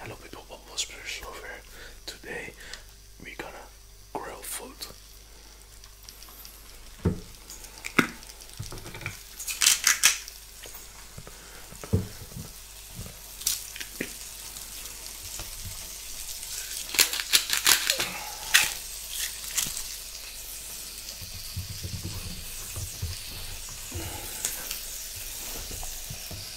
Hello people, Bubble Spiritual here. Today we're gonna grill food.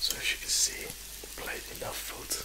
So as you can see, played enough food.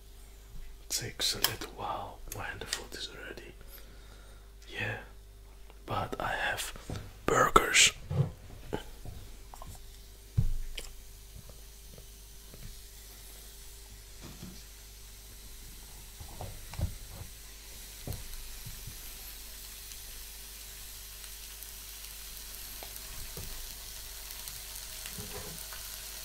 takes a little while when the food is ready. Yeah, but I have burgers.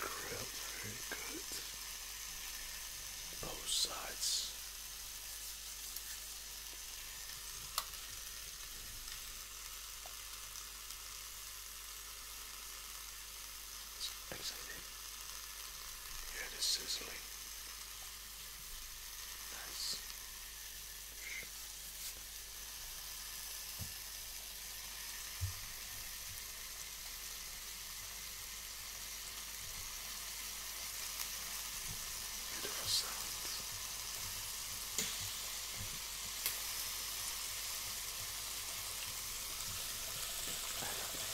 Crap, very good. Both sides. Excited. Hear the sizzling. Nice. Beautiful sounds. I love it.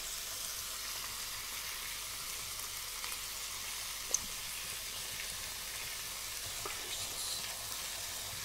Gracious. Beautiful.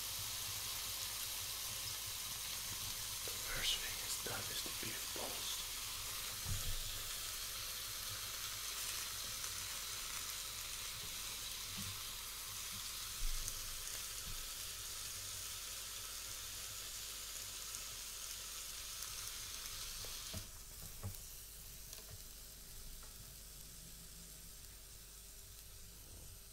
The first thing is done is the beef balls.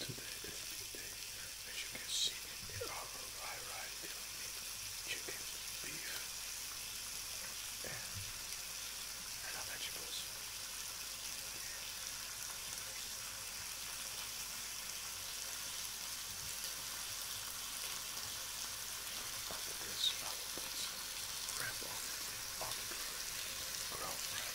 Today is big day. As you can see, there are a variety of meat, chicken, beef, and other vegetables. After this, I will put some wrap on it on the ground wrap.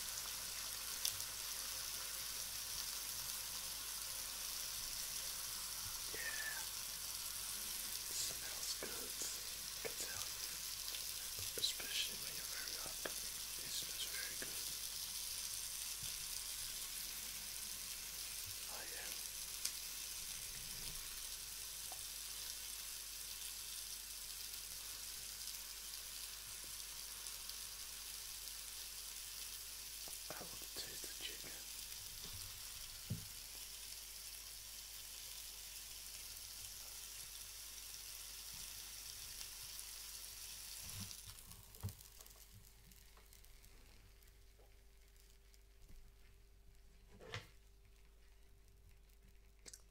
It smells good, can tell Especially when you're very up. It smells very good. Oh yeah. I want to taste the chicken.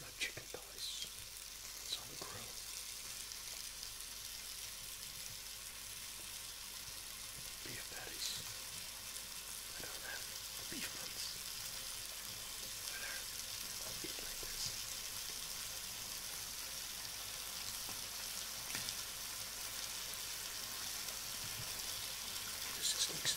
Got chicken thighs. It's on the grill. Beef patties. I don't have beef ones. But I'll like this. This is next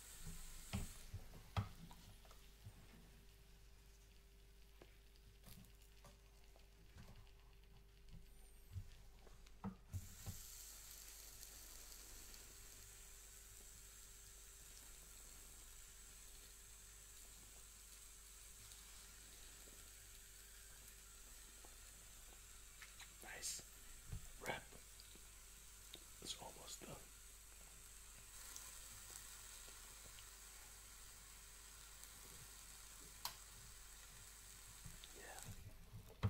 Nice wrap it's almost done. Yeah.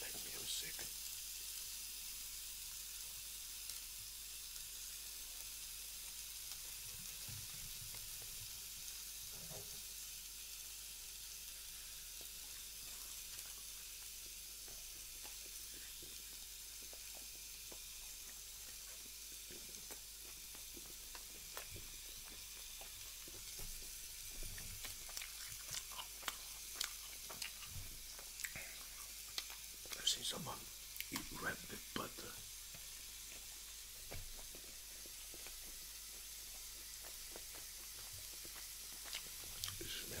like music. I've seen someone uh, eat rabbit with butter. Smell.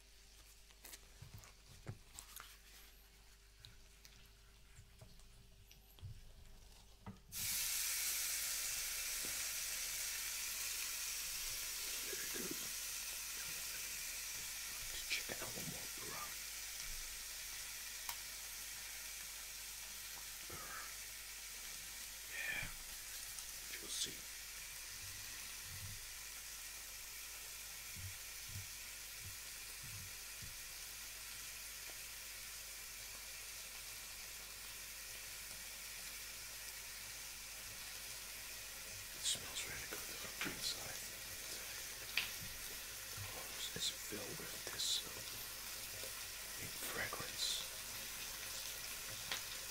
Chicken and one more brown. Yeah, you'll see. It smells really good from inside. The hose is filled with this um, fragrance.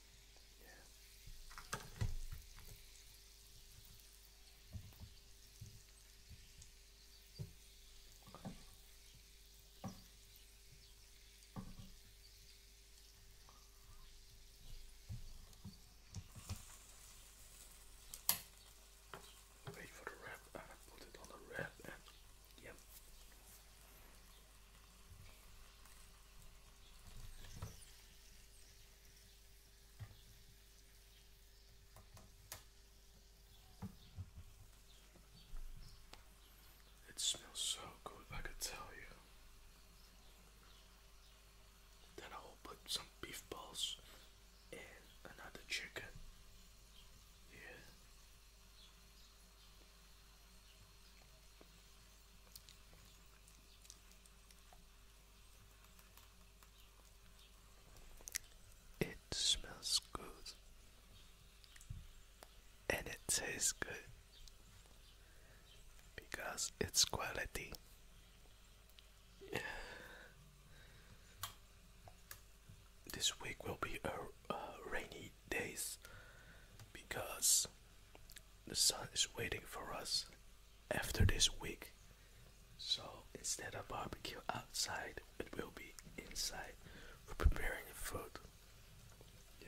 Yeah. Wait for the wrap and I put it on the wrap and yep. Yeah. It smells so good, I could tell you. Then I will put some beef balls and another chicken. Yeah. It smells good and it tastes good because it's quality. this week will be a, a rainy days because the sun is waiting for us after this week. So instead of barbecue outside, it will be inside for preparing the food. Yeah.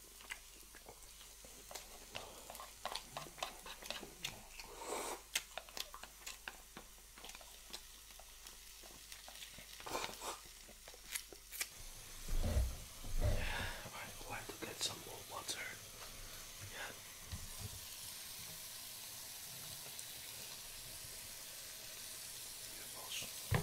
right, we we'll have to get some more water. Yeah. Beautiful.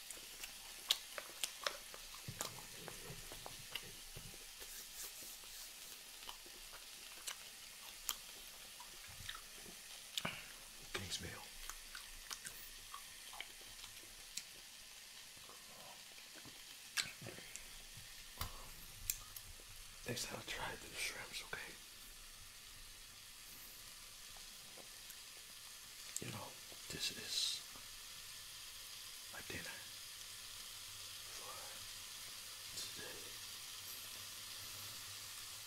Kingsville. Next time I try the shrimps, okay? You know, this is my dinner for today.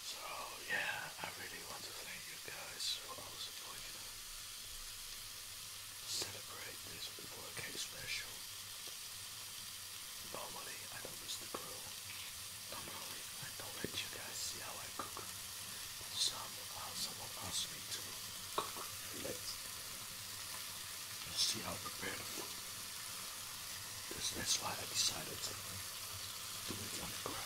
So yeah, I really want to thank you guys for all the support, you know. Celebrate this 4K special. Normally I don't miss the grill. Normally I don't let you guys see how I cook. Some, uh, someone asked me to cook fillets. Let's see how prepared I food. That's, that's why I decided to do it on the ground.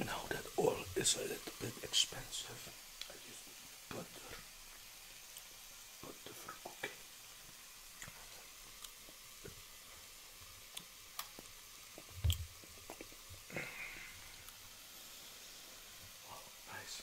Now that oil is a little bit expensive, I use butter, butter for cooking. Oh, nice.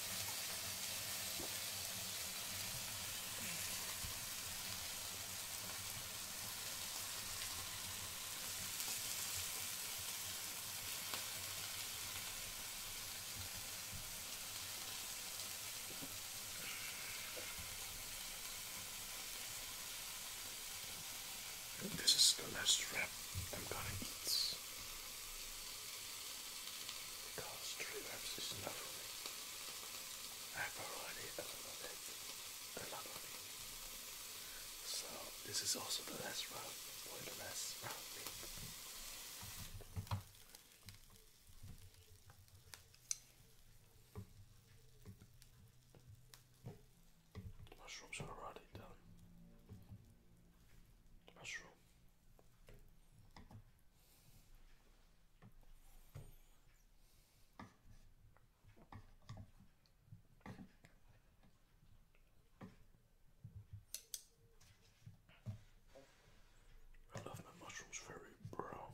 And this is the last wrap I'm gonna eat. Because true abs is enough for me. I have already a lot of it. A it. So this is also the last round for the last round meat. Mushrooms are already done. Mushroom. I love my mushrooms very brown.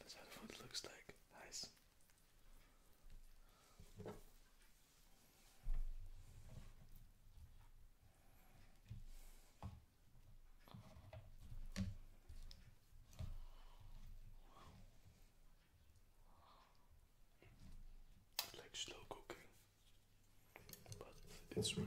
That's how the food looks like. Nice. like slow cooking, but it's worth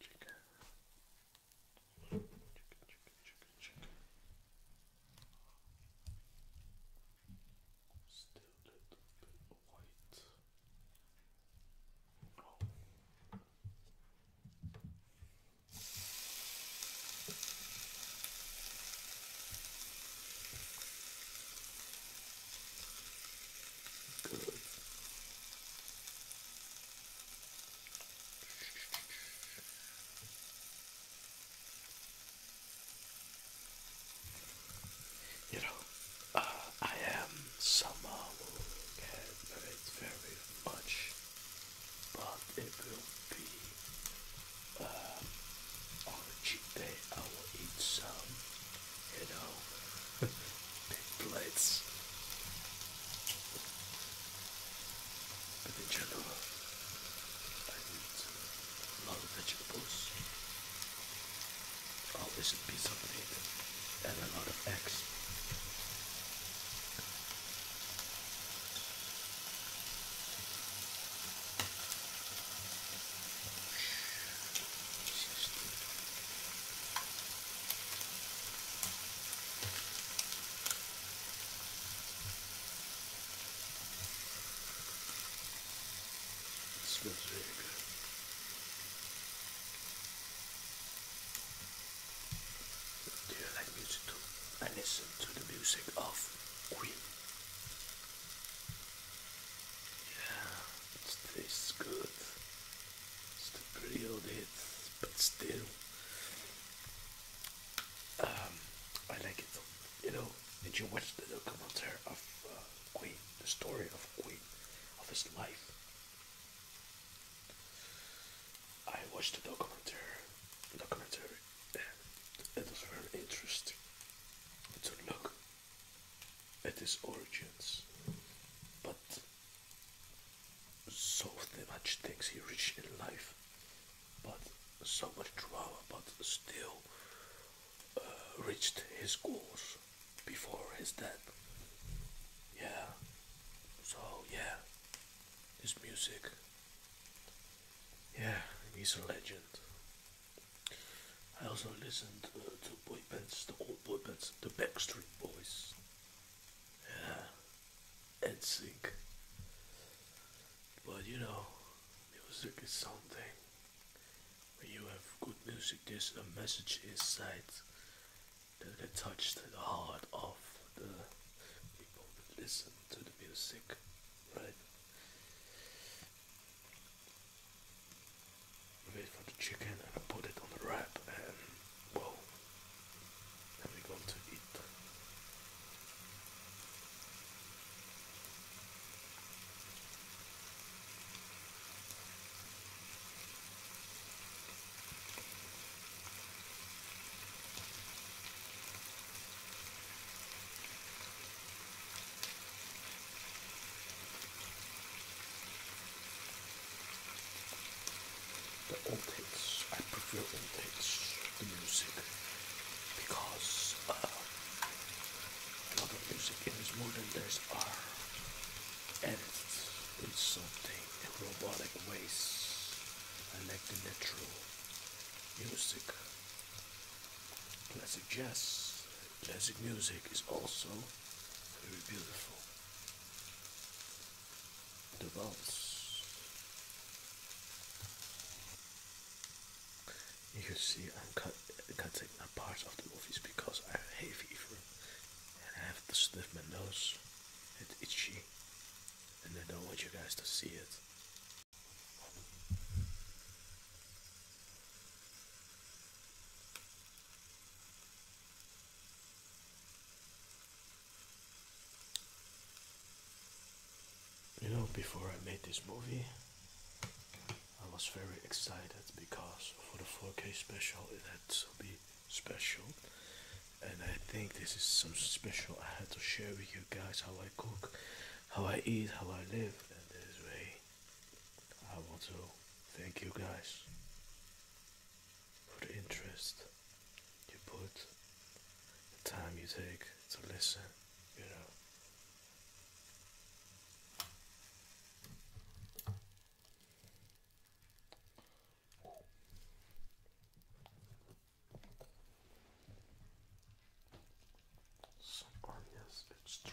Chicken. Chicken, chicken, chicken, chicken. Still a little bit white. Oh. Good. Good. You know, uh, I am someone who can very, very much, but it will be uh, on a cheap day. I will eat some you know, big plates. But in general, I eat a lot of vegetables. Always a piece of meat and a lot of eggs. just smells really good. Do you like music I listen to the music of Queen. Yeah, it tastes good. Still pretty old hits, but still. Um, I like it. You know, did you watch the documentary of uh, Queen? The story of Queen, of his life. I watched the documentary. Documentary. It was very interesting to look at his origins, but so much things he reached in life, but so much drama, but still uh, reached his goals before his death. Yeah, so yeah, his music, yeah, he's a legend. I also listened uh, to boy bands, the old boy bands, the Backstreet Boys, yeah, and But you know, music is something. When you have good music, there's a message inside that can touch the heart of the people that listen to the music, right? the meat the chicken and I put it on the wrap and well and we're going to eat the old hits. I prefer old hits, the music, because uh, a lot of music in this modern days are edited in something in robotic ways. I like the natural music. Classic jazz, classic music is also very beautiful the valves. You can see I'm cutting parts of the movies because I have hay fever and I have to sniff my nose. It's itchy and I don't want you guys to see it. You know, before I made this movie, I was very excited because for the 4K special, it had to be special. And I think this is some special I had to share with you guys how I cook, how I eat, how I live. And this way, I want to thank you guys for the interest you put, the time you take to listen, you know. Some areas it's true.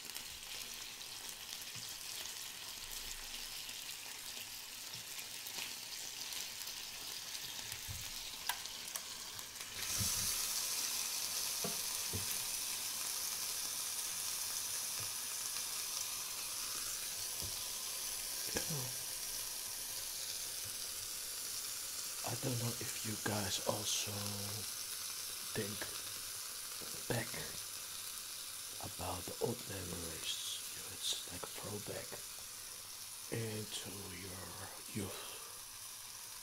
I don't know if you guys also think back about the old memories. You know, it's like a throwback into your youth.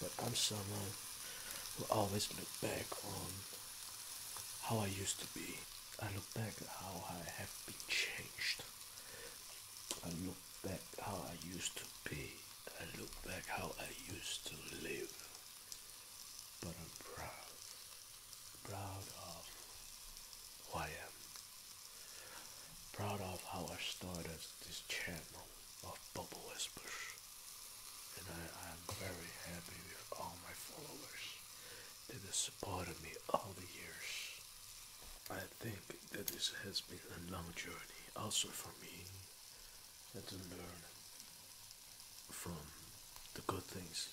But I'm someone who always look back on how I used to be. I look back at how I have been changed. I look back how I used to be. I look back how I used to live. But I'm proud proud of who I am. Proud of how I started this channel of Bubble Whispers. And I, am very happy with all my followers that have supported me all the years. I think that this has been a long journey also for me and to learn from the good things,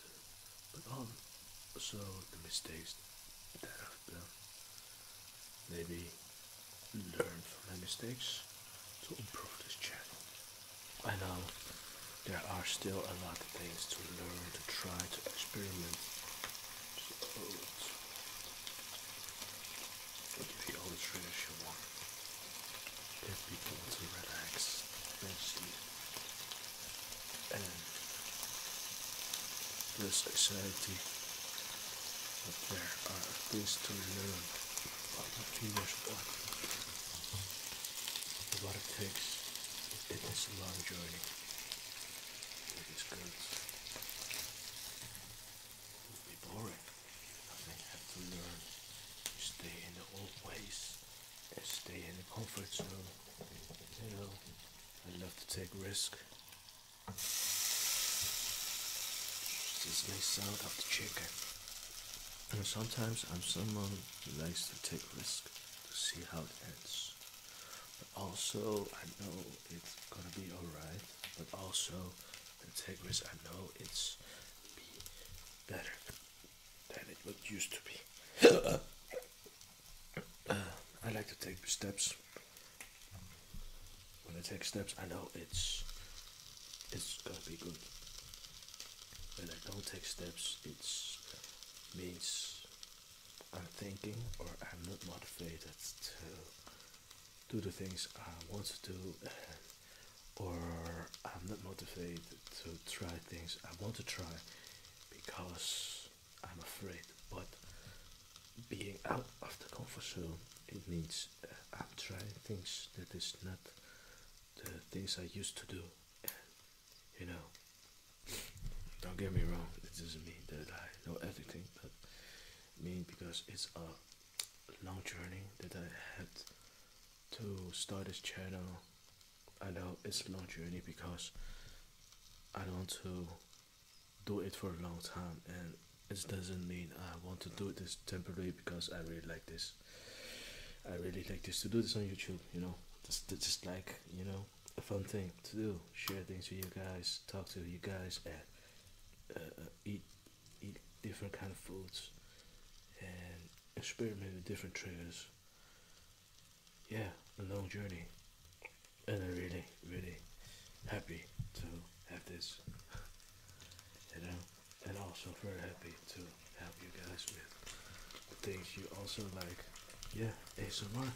but also the mistakes that I've done. Maybe learn from my mistakes to improve this channel. I know there are still a lot of things to learn, to try, to experiment. So, but the old tradition one, get people to relax and sleep and this society, but there are things to learn about the female's body what it takes it is a long journey it is good it would be boring I think to learn stay in the old ways stay in the comfort zone. You know, I love to take risks. This nice sound of the chicken. And sometimes I'm someone who likes to take risks to see how it ends. But also, I know it's gonna be alright. But also, the take risk, I know it's be better than it what used to be. Uh, I like to take steps. When I take steps, I know it's it's gonna be good. When I don't take steps, it means I'm thinking or I'm not motivated to do the things I want to do, or I'm not motivated to try things I want to try because I'm afraid, but being out of the comfort zone it means uh, I'm trying things that is not the things I used to do. Uh, you know, don't get me wrong, it doesn't mean that I know everything, but I mean because it's a long journey that I had to start this channel I know it's a long journey because I don't want to do it for a long time and it doesn't mean I want to do this temporarily because I really like this. I really like this to do this on YouTube, you know. Just, like, you know, a fun thing to do. Share things with you guys, talk to you guys, and uh, uh, eat, eat different kind of foods and experiment with different triggers yeah, a long journey, and I'm really, really happy to have this, you know, and also very happy to help you guys with the things you also like. Yeah, ASMR.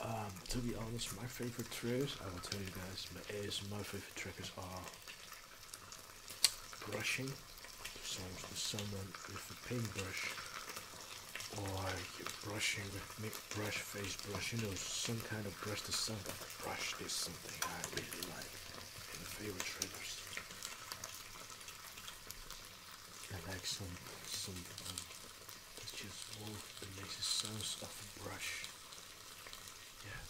Um, to be honest, my favorite triggers, I will tell you guys, my ASMR favorite triggers are brushing songs to someone with a paintbrush or you're brushing with mic brush, face brush, you know, some kind of brush to something. Brush is something I really like and favorite shredders. I like some, something um, that's just oh, that makes a sounds of brush. Yeah.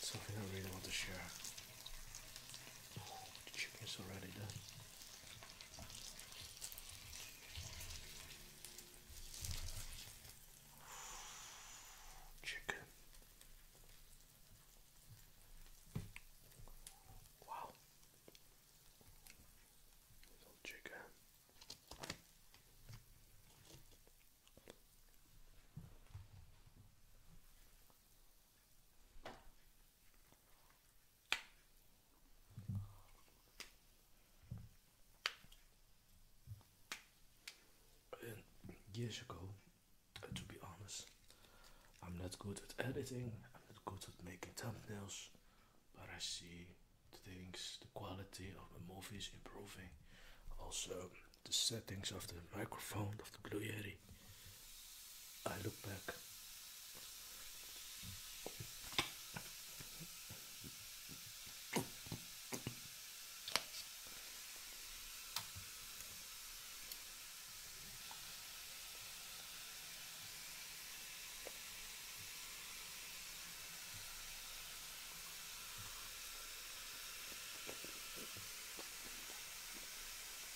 Something I really want to share the chicken is already done. Chicken. Wow. Little chicken years ago, uh, to be honest, I'm not good at editing, I'm not good at making thumbnails, but I see the things, the quality of the movies improving. Also, the settings of the microphone of the Blue Yeti I look back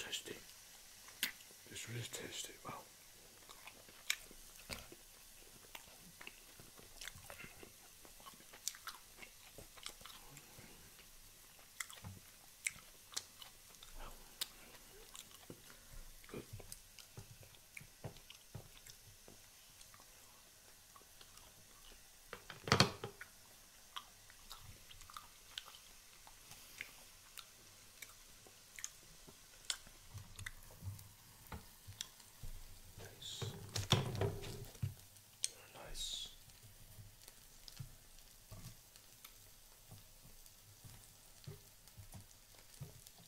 Tasty. It's really tasty. Wow. Good. Nice. Very nice.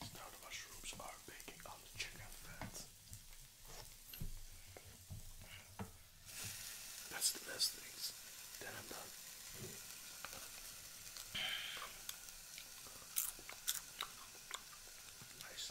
the mushrooms are baking on the chicken fat. That's the best thing. Nice.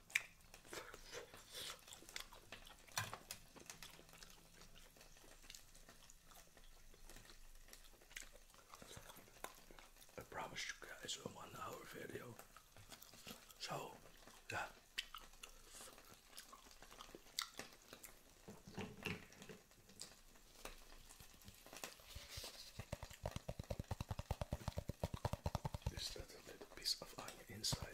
I promised you guys a one hour video. So, yeah a little piece of onion inside.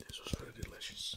This was very delicious.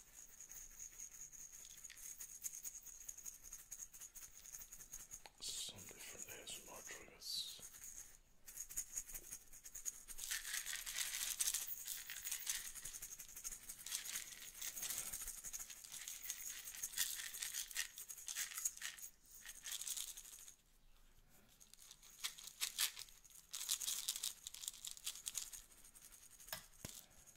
Some different ASMR triggers.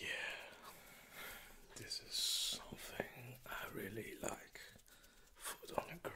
Yeah, this is something I really like. Food on a grill.